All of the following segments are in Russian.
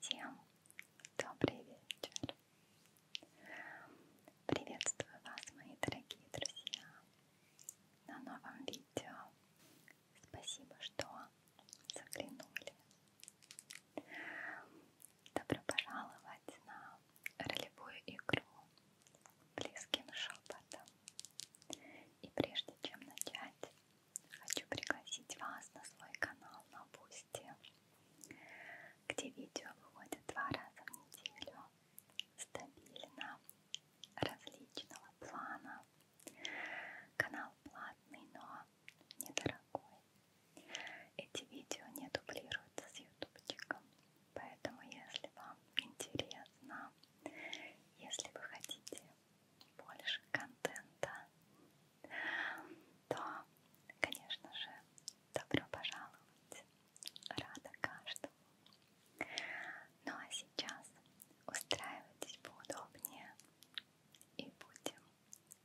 Всем добрый вечер. Приветствую вас, мои дорогие друзья, на новом видео. Спасибо, что заглянули. Добро пожаловать на ролевую игру близким шепотом. И прежде чем начать, хочу пригласить вас на свой канал на Бусти, где видео выходят два раза в неделю, стабильно, различного плана. Канал платный, но недорогой. Эти видео не дублируются с ютубчиком, поэтому если вам интересно если вы хотите больше контента, то, конечно же, добро пожаловать. Рада каждому. Ну а сейчас устраивайтесь поудобнее и будем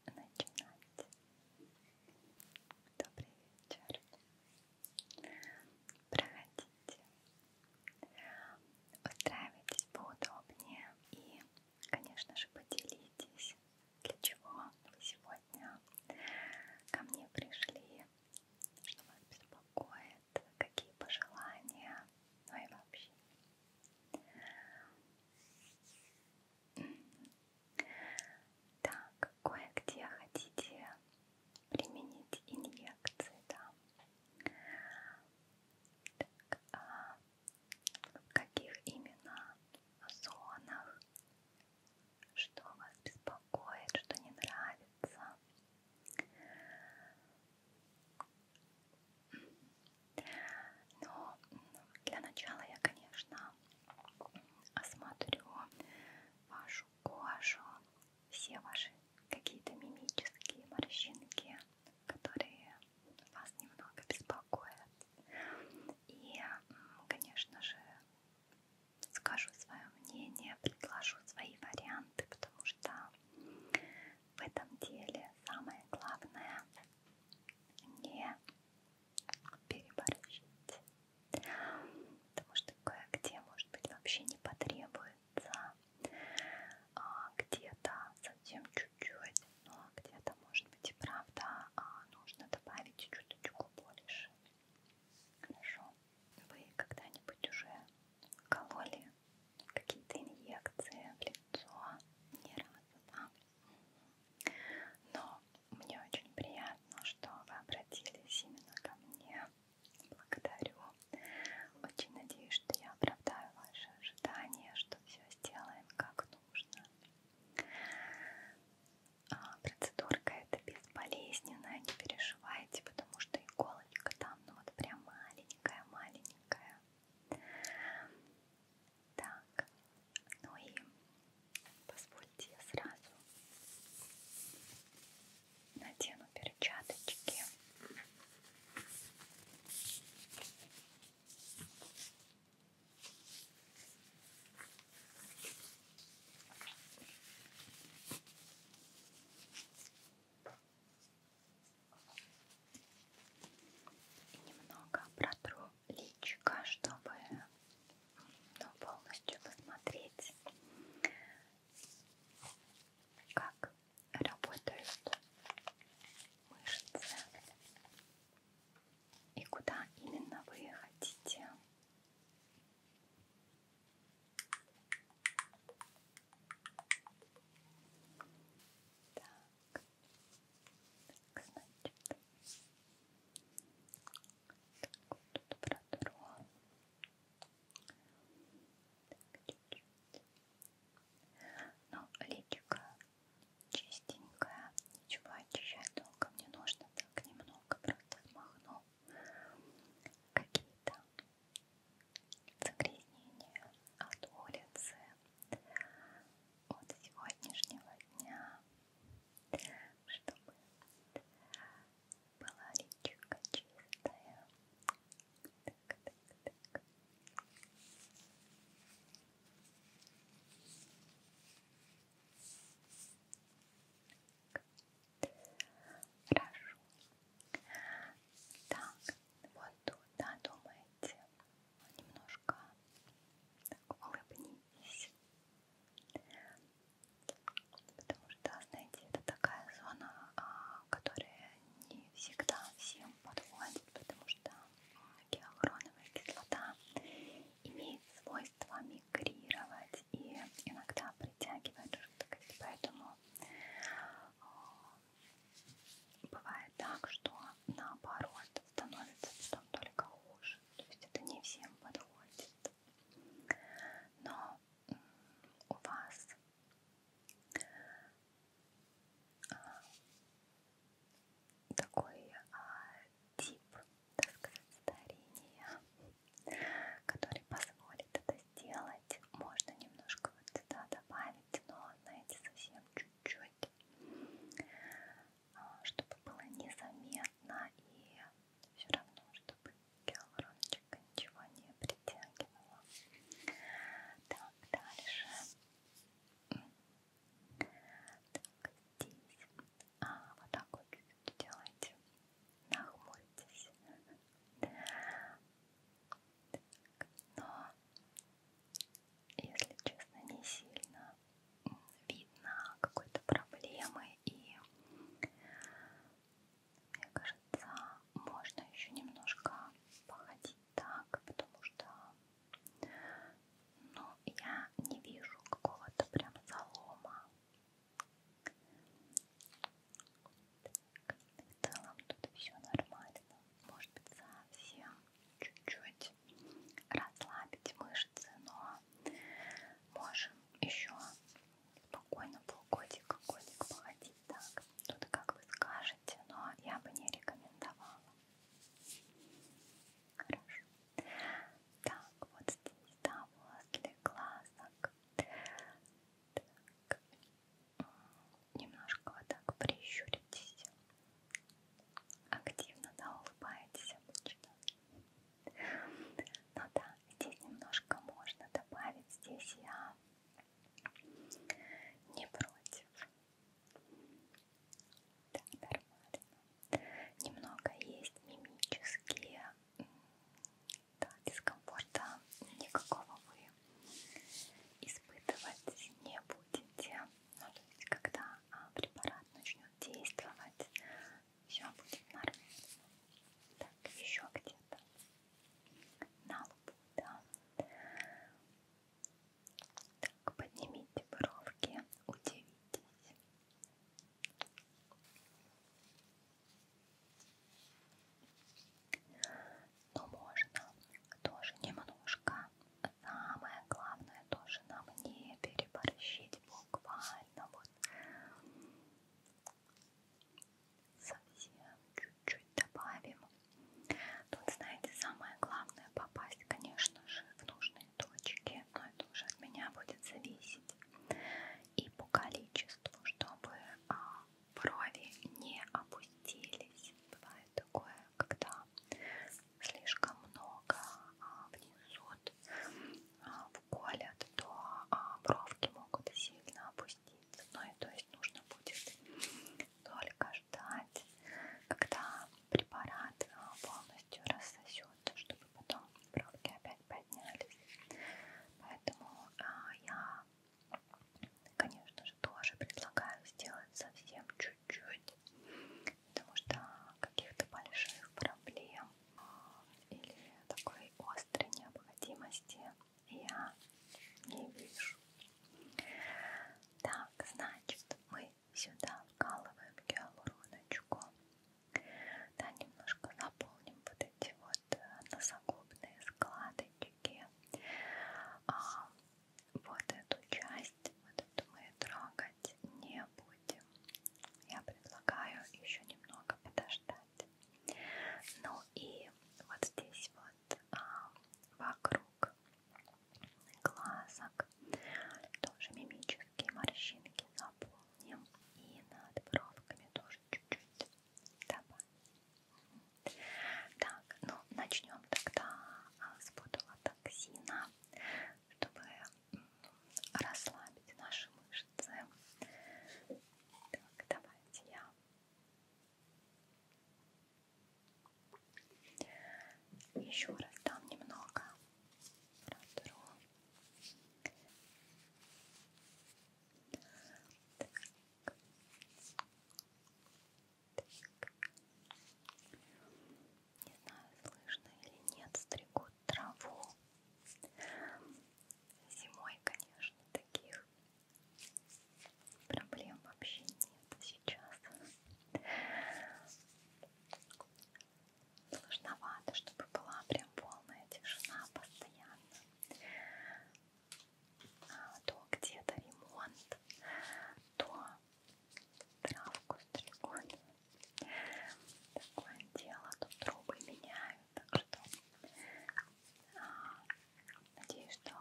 начинать. Добрый вечер. Проходите, Устраивайтесь поудобнее и, конечно же, поделитесь, для чего вы сегодня ко мне пришли, что вас беспокоит, какие пожелания, ну и вообще. Так, кое-где хотите применить инъекции, да. Так, а в каких именно зонах, что вас беспокоит, что не нравится? Но ну, для начала я, конечно, осмотрю вашу кожу, все ваши какие-то мимические морщинки, которые вас немного беспокоят. И, конечно же, скажу свое мнение, предложу свои варианты, потому что в этом деле самое главное не переборщить, потому что кое-где, может быть, вообще не потребуется а, где-то совсем чуть-чуть, но где-то, может быть, и правда а, нужно добавить чуточку больше. Хорошо. Вы когда-нибудь уже кололи какие-то инъекции в лицо? Не разу, да? Но мне очень приятно, что вы обратились именно ко мне Благодарю. Очень надеюсь, что я оправдаю ваши ожидания, что все сделаем как нужно. А процедурка это безболезненная, не переживайте, потому что иголочка там, ну вот прям маленькая-маленькая. Так, ну и позвольте я сразу надену перчаточки. И немного протру личико, чтобы ну, полностью посмотреть, как работают мышцы и куда именно вы хотите. Так, так значит, так, вот тут протру так, чуть -чуть. Ну, личико чистенькое, ничего очищать долго не нужно, так немного просто смахну какие-то загрязнения от улицы, от сегодняшнего дня, чтобы была речка чистая. Так, так, так. Хорошо. Так, вот тут, да, думаете, немножко так, улыбнитесь. Потому что, знаете, это такая зона, а, которая не всегда всем подходит, потому что гиалуроновая кислота имеет свойство мигрировать и иногда притягивает жидкость, поэтому э, бывает так, что наоборот становится потом только хуже, то есть это не всем подходит. Но у вас а, такой а, тип, так сказать, старения, который позволит это сделать. Можно немножко вот сюда добавить, но, знаете, совсем чуть-чуть, а, чтобы было незаметно и все равно, чтобы гиалурончик ничего не притягивала. Так, дальше. Так, здесь. А, вот так вот делайте. Нахмуритесь. Так, но, если честно, не сильно видно какой-то проблемы и мне кажется, можно еще немножко походить так, потому что ну, я не вижу какого-то прям залома. Так, в целом тут все нормально. Может быть, совсем чуть-чуть расслабить мышцы, но можем еще Спокойно полгодика, годик походить так. Тут как вы скажете, но я бы не рекомендовала. Хорошо. Так, вот здесь, да, возле глазок. Так. Немножко вот так прищуритесь. Активно, да, улыбаетесь обычно. Ну да, здесь немножко можно добавить. Здесь я не против. Да, нормально. Немного есть мимические. Да, дискомфорта никакого вы испытывать не будете. Ну, то есть, когда а, препарат начнет действовать, все будет нормально. Так, еще где-то на лбу, да. Так, поднимите бровки, удивитесь. Но можно тоже немножко, самое главное тоже нам не переборщить буквально вот совсем чуть-чуть добавим. Тут, знаете, самое главное попасть, конечно же, в нужные точки, но это уже от меня будет зависеть. И по количеству, чтобы а, брови не опустились. Бывает такое, когда слишком много а, внесут, а, вколят, то а, бровки могут сильно опуститься объяснить. Ну и то есть нужно будет только ждать, когда препарат э, полностью рассосет, чтобы потом бровки опять поднялись. Поэтому а, я, конечно же, тоже предлагаю сделать совсем чуть-чуть, потому что каких-то больших проблем э, или такой острой необходимости я не вижу. Так, значит, мы сюда вкалываем гиалуроночку. Да, немножко заполним вот эти вот э, носогубные складочки. А вот эту часть, вот эту мы трогать не будем. Я предлагаю еще немного подождать. Ну и вот здесь вот вот а, вокруг глазок тоже мимические морщинки заполним и над бровками тоже чуть-чуть добавим. Так, ну начнем тогда а, с ботулотоксина, чтобы расслабить наши мышцы. Так, давайте я еще раз там немного. Протру. Так. Так. Не знаю, слышно или нет, стригут траву. Зимой, конечно, таких Проблем вообще нет сейчас. Сложновато, чтобы была прям полная тишина постоянно. А то где-то ремонт, то травку стригут. Такое дело, тут трубы меняют, так что а, Надеюсь, что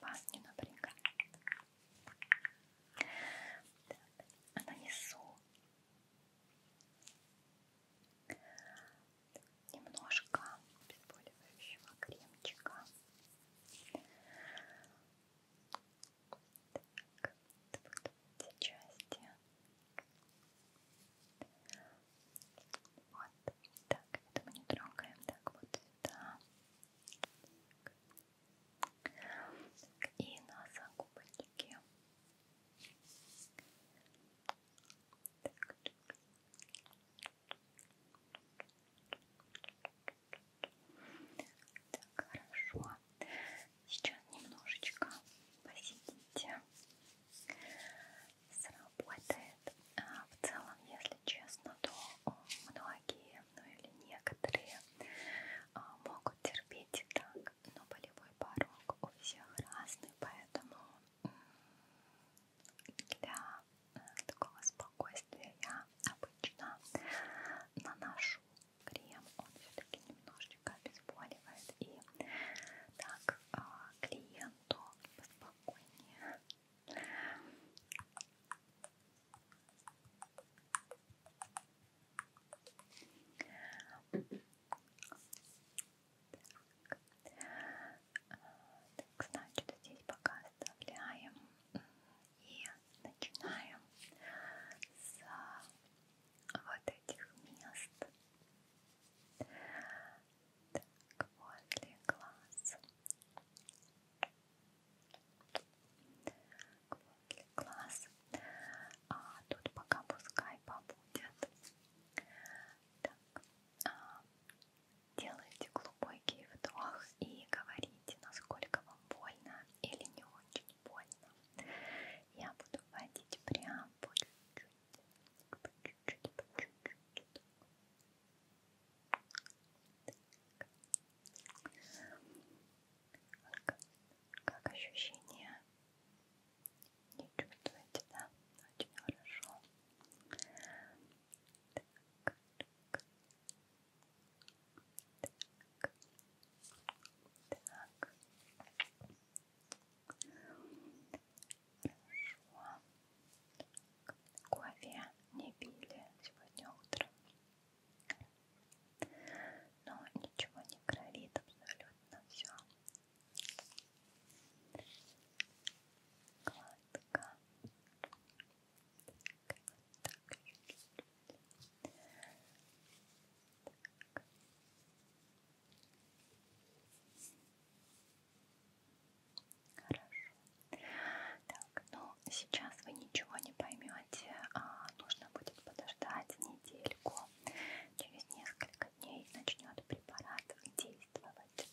вас не напрягает. А нанесу немножко обезболивающего кремчика. Так, вот эти части. Вот. Так, это мы не трогаем. Так, вот сюда. Так. И на загубочке. Так. так, хорошо. Сейчас немножечко посидите сработает. А в целом, если честно, то многие, ну или некоторые а, могут терпеть и так, но болевой порог у всех разный, поэтому для э, такого спокойствия я обычно наношу крем, он все-таки немножечко обезболивает и так а, клиенту поспокойнее так, значит, здесь пока оставляем и начинаем с вот этих мест. Так, возле глаз. Так, возле глаз. А тут пока пускай побудет. Так, а, делайте глубокий вдох и говорите, насколько вам больно или не очень больно. Я буду вводить прям по чуть-чуть, по чуть-чуть, по чуть-чуть. Так. Как ощущения? Не чувствуете, да? Очень хорошо. Так. Так. Так. Хорошо. Кофе не пили сегодня утром. Но ничего не кровит абсолютно все. Гладко. Так, так. Так. Хорошо. Так, ну сейчас вы ничего не поймете. А нужно будет подождать недельку. Через несколько дней начнет препарат действовать.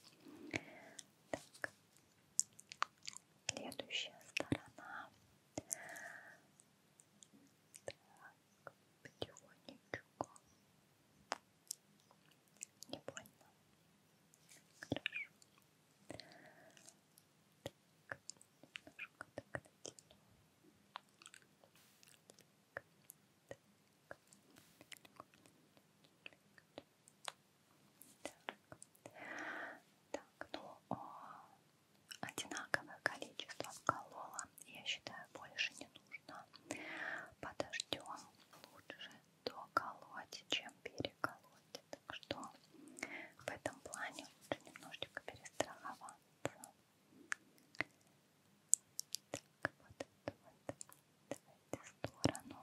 Так. Следующая сторона. Так, потихонечку. Не больно. Хорошо. Так, немножко так натяну. Так, так. Так, так, ну о, одинаковое количество вколола, я считаю, больше не нужно. Подождем лучше доколоть, чем переколоть. Так что в этом плане лучше немножечко перестраховаться. Так, вот эту вот давайте сторону.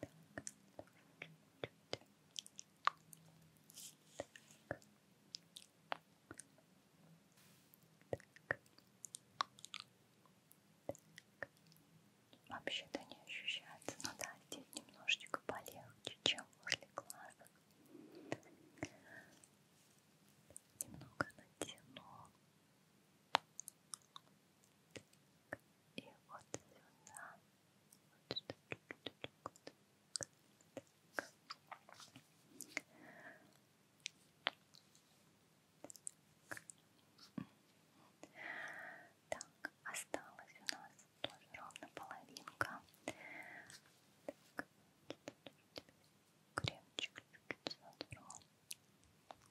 Так, чуть-чуть. Так. Так. Вообще-то не ощущается, но да, здесь немножечко полегче, чем возле глаза. Немного натяну. Так, и вот сюда. Вот сюда. Так. Так, осталось у нас тоже ровно половинка. Так, кремчик чуть-чуть сотру. Так,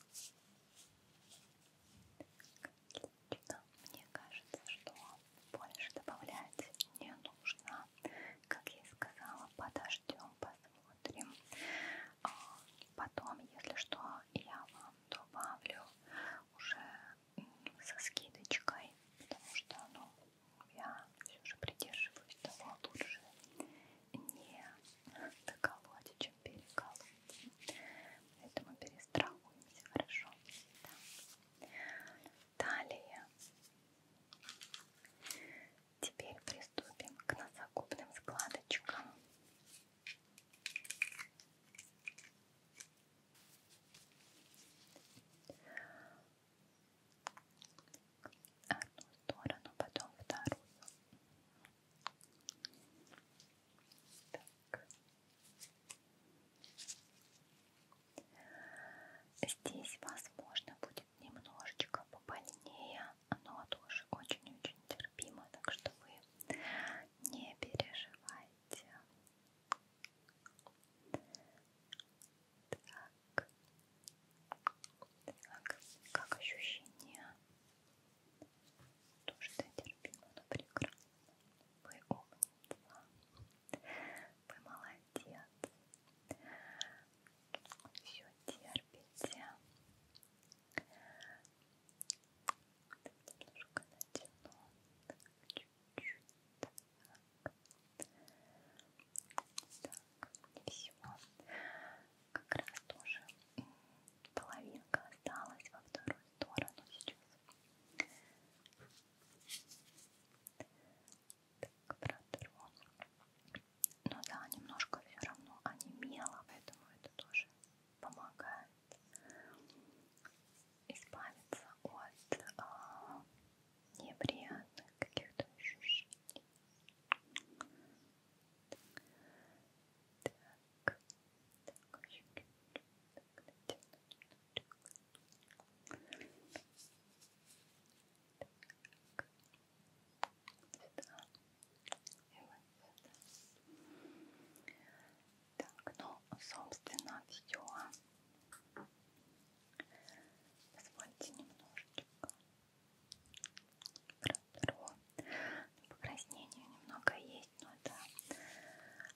Отлично. Мне кажется, что больше добавлять не нужно. Как я и сказала, подождем, посмотрим. А, потом, если что, я вам добавлю уже со скидочкой, потому что ну, я все же придерживаюсь того лучше не доколоть, чем переколоть. Поэтому перестрахуемся, хорошо? Да. Далее. Теперь приступим к носогубным складочкам. Одну сторону, потом вторую. Так. Здесь, возможно, будет немножечко побольнее, но тоже очень-очень терпимо, так что вы не переживайте. Так. Так, как ощущение? То, что я терпела, но прекрасно. Вы умница. Вы молодец. Все терпите. Немножко натяну. Чуть-чуть. Так. так, и все как раз тоже половинка осталась во вторую сторону сейчас. Так, протру. Ну да, немножко все равно онемело, поэтому это тоже помогает избавиться от а, неприятных каких-то ощущений. Так, так, очень так, так, так, ну, собственно, все. Позвольте немножечко Протро. Ну, покраснение немного есть, но это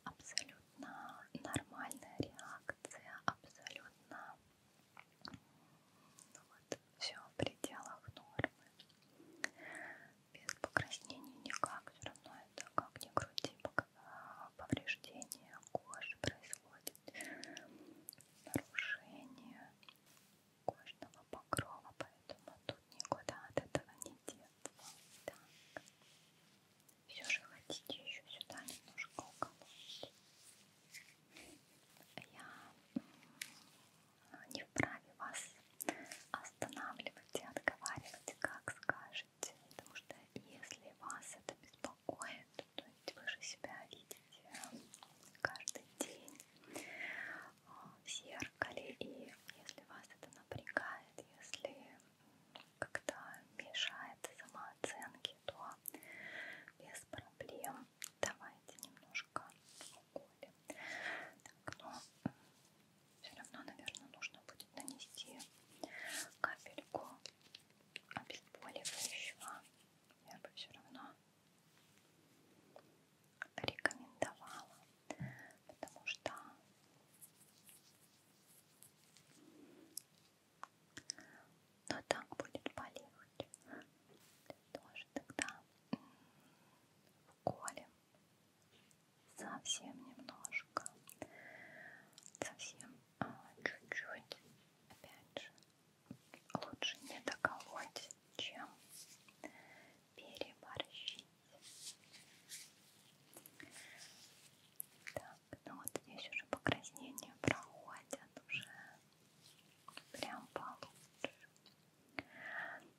абсолютно нормальная реакция, абсолютно ну вот, все в пределах нормы. Без покраснений никак, все равно это как ни крути, а, повреждение кожи происходит, нарушение кожного покрова, поэтому тут никуда от этого не деться. Так. Все же хотите еще сюда немножко уколоть. Я не вправе вас останавливать и отговаривать, как скажете, потому что если вас это беспокоит, то есть вы же себя видите каждый день, в зеркале, и если вас это напрягает, если как-то мешает самооценке, то без проблем давайте немножко уколем. Так, но ну, все равно, наверное, нужно будет нанести капельку обезболивающего. Я бы все равно рекомендовала, потому что но так будет болеть тоже тогда вколем совсем немножко совсем а, чуть-чуть а, опять же лучше не доколоть чем переборщить. Так, ну вот здесь уже покраснения проходят уже прям получше.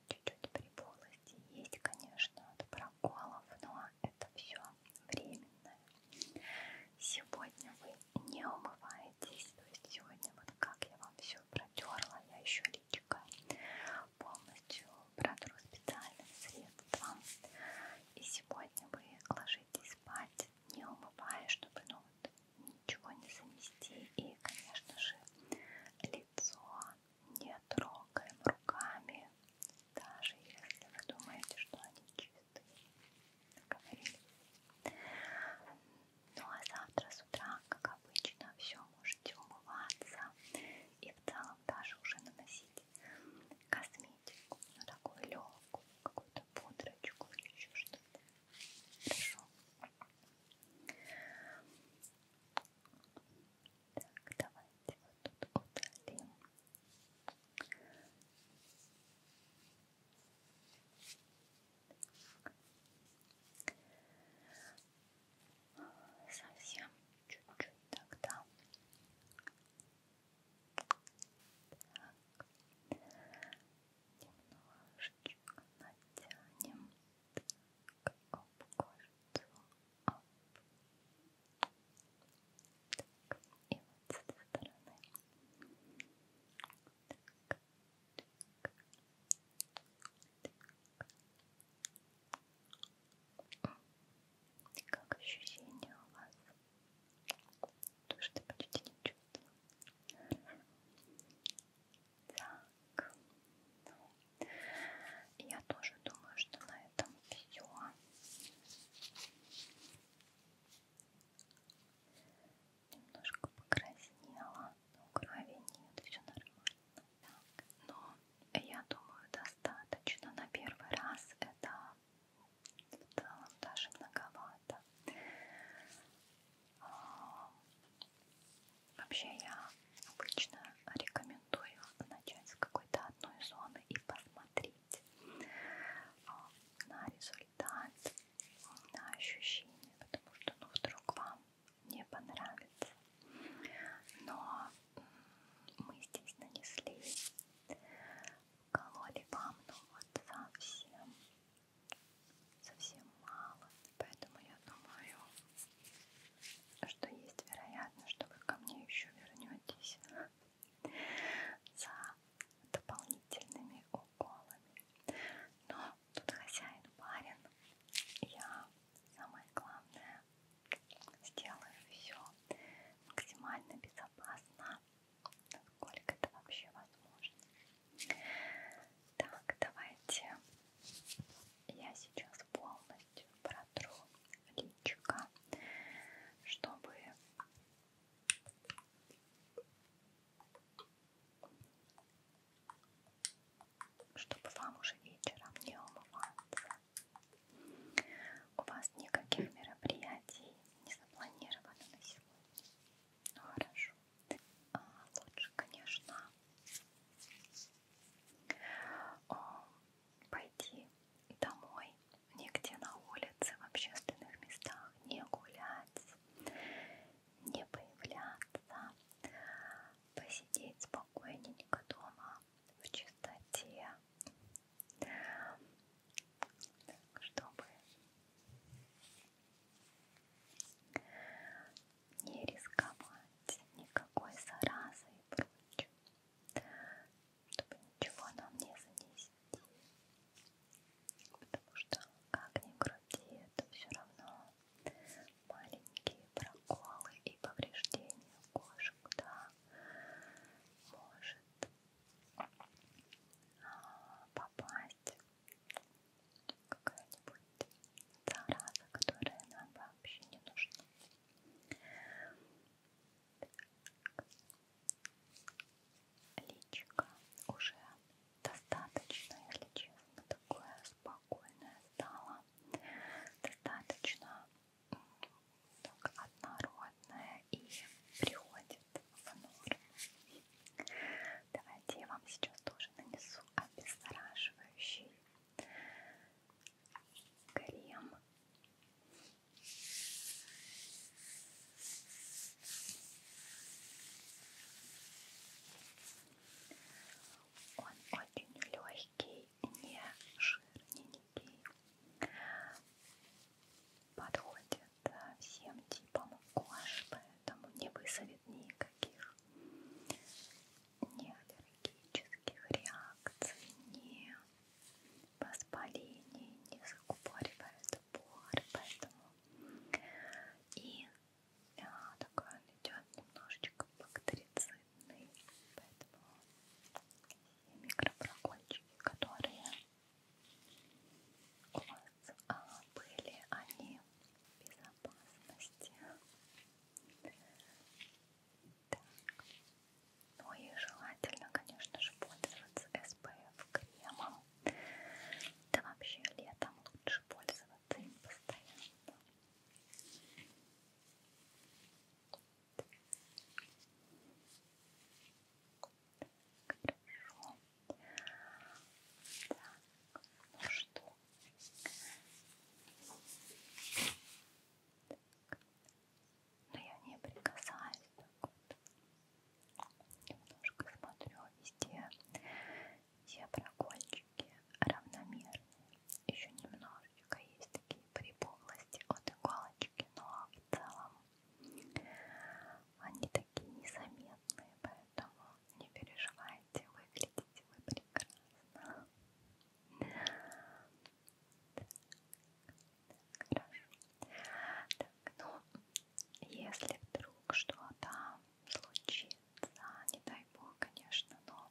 Чуть-чуть при полости есть, конечно, от проколов, но это все временное. Сегодня вы не умываетесь, то есть сегодня вот как я вам все протерла я еще личико полностью протру специальным средством. И сегодня вы ложитесь спать, не умывая, чтобы ну, вот, ничего не замести. И, конечно же, лицо не трогаем руками, даже если вы думаете, что они чистые. Договорились? Ну а завтра с утра, как обычно, все можете умываться и в целом даже уже наносить косметику, ну такую легкую, какую-то пудрочку или еще что-то. Хорошо. Так, давайте вот тут удалим. Совсем чуть-чуть тогда. Так. Немножечко натянем. Так, об кожицу. Оп. Так, и вот с этой стороны. Так. Как ощущение у вас? То, что почти не чувствую. Так. Ну, я тоже думаю, что на этом все немножко покраснела, но крови нет, все нормально. Так. Но я думаю, достаточно на первый раз. Это в целом даже многовато. А, вообще я обычно рекомендую начать с какой-то одной зоны и посмотреть а, на результат, на ощущения, потому что ну, вдруг вам не понравится. Но мы здесь нанесли, кололи вам, но ну вот совсем, совсем мало. Поэтому я думаю, что есть вероятность, что вы ко мне еще вернетесь за дополнительными уколами. Но тут хозяин барин. Я самое главное сделаю все максимально безопасно, насколько это вообще возможно. Так, давайте я сейчас полностью протру личико, чтобы чтобы вам уже вечером не умываться. У вас никаких мероприятий не запланировано на сегодня. Ну хорошо. А, лучше, конечно, а, пойти домой, нигде на улице, в общественных местах не гулять, не появляться, посидеть спокойненько дома в чистоте, чтобы не рисковать никакой заразой и прочим, чтобы ничего нам не занести. Потому что, как ни крути, это все равно маленькие проколы и повреждения кожи, куда может а, попасть какая-нибудь зараза, которая нам вообще не нужна. Так. Личико уже достаточно, если честно, такое спокойное стало, достаточно так, однородное и приходит в норму. Давайте я вам сейчас тоже нанесу обеззараживающий крем. Он очень легкий, не жирненький. Подходит всем типам кожи, поэтому не вызовет никаких ни аллергических реакций, ни воспалений, не закупоривает поры, поэтому и а, такой он идет немножечко бактерицидный, поэтому микропрокольчики, которые у вас а, были, они в безопасности. Так. Ну и желательно, конечно же, пользоваться SPF кремом. Да вообще летом лучше пользоваться работаем постоянно. Хорошо. Так, ну что? Так. Ну Но я не прикасаюсь так вот. Немножко смотрю везде все прокольчики равномерные. Еще немножечко есть такие припухлости от иголочки, но в целом они такие незаметные, поэтому не переживайте, выглядите вы прекрасно. Так, хорошо. Так, ну, если вдруг что-то случится, да, не дай бог, конечно, но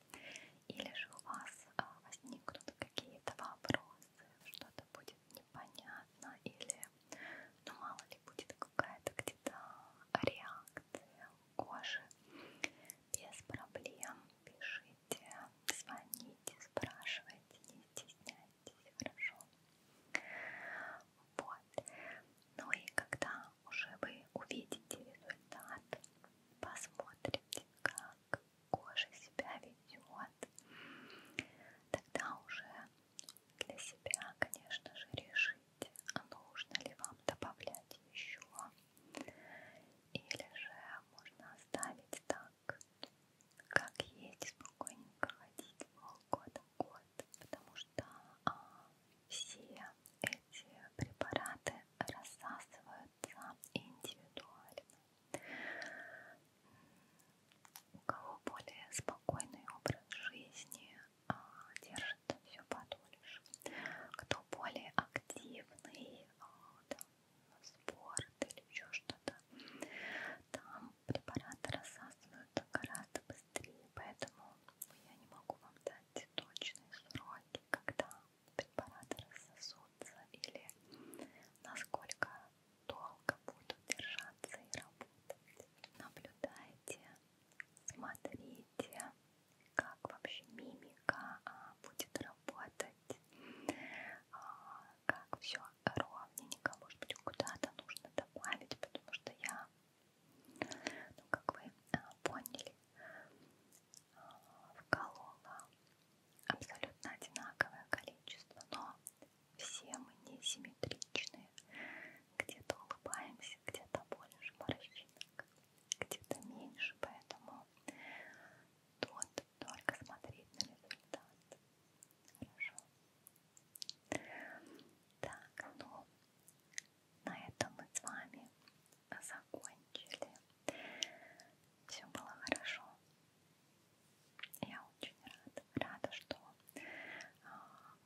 или же у вас а, возникнут какие-то вопросы, что-то будет непонятно, или, ну, мало ли, будет какая-то где-то реакция кожи, без проблем пишите, звоните, спрашивайте, не стесняйтесь, хорошо? Вот. Ну и когда уже вы увидите результат, посмотрите, как кожа себя ведет. Тогда уже для себя, конечно же, решите, а нужно ли вам добавлять еще, или же можно оставить так, как есть, спокойненько ходить полгода-год, потому что а, все эти препараты рассасываются индивидуально. У кого более спокойный образ жизни, а, держится все подольше. Кто более активный, а, там, спорт или еще что-то, там препараты рассасываются гораздо быстрее раз три, поэтому я не могу вам дать точные сроки, когда препараты рассосутся или насколько долго будут держаться и работать. Наблюдайте, смотрите, как вообще мимика а, будет работать, а, как все ровненько, может быть, куда-то нужно добавить, потому что я ну, как вы а, поняли, а, вколола абсолютно одинаковое количество, но все мы несимметричные. Где-то улыбаемся, где-то больше морщинок, где-то меньше, поэтому тут только смотреть на результат. Хорошо. Так, ну, на этом мы с вами закончили. Все было хорошо. Я очень рада, рада, что а,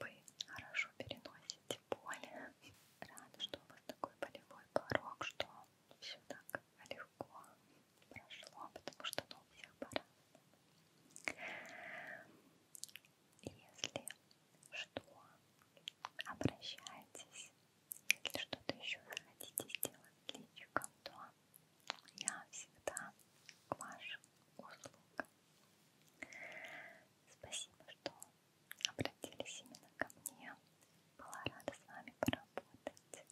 вы хорошо переносите боль. Рада, что у вас такой болевой порог, что все так легко прошло, потому что ну, у всех пора. Если что, обращайтесь. Если что-то еще хотите сделать для личиком, то я всегда к вашим услугам. Спасибо, что обратились именно ко мне. Была рада с вами поработать.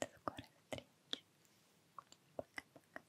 До скорой встречи. Пока-пока.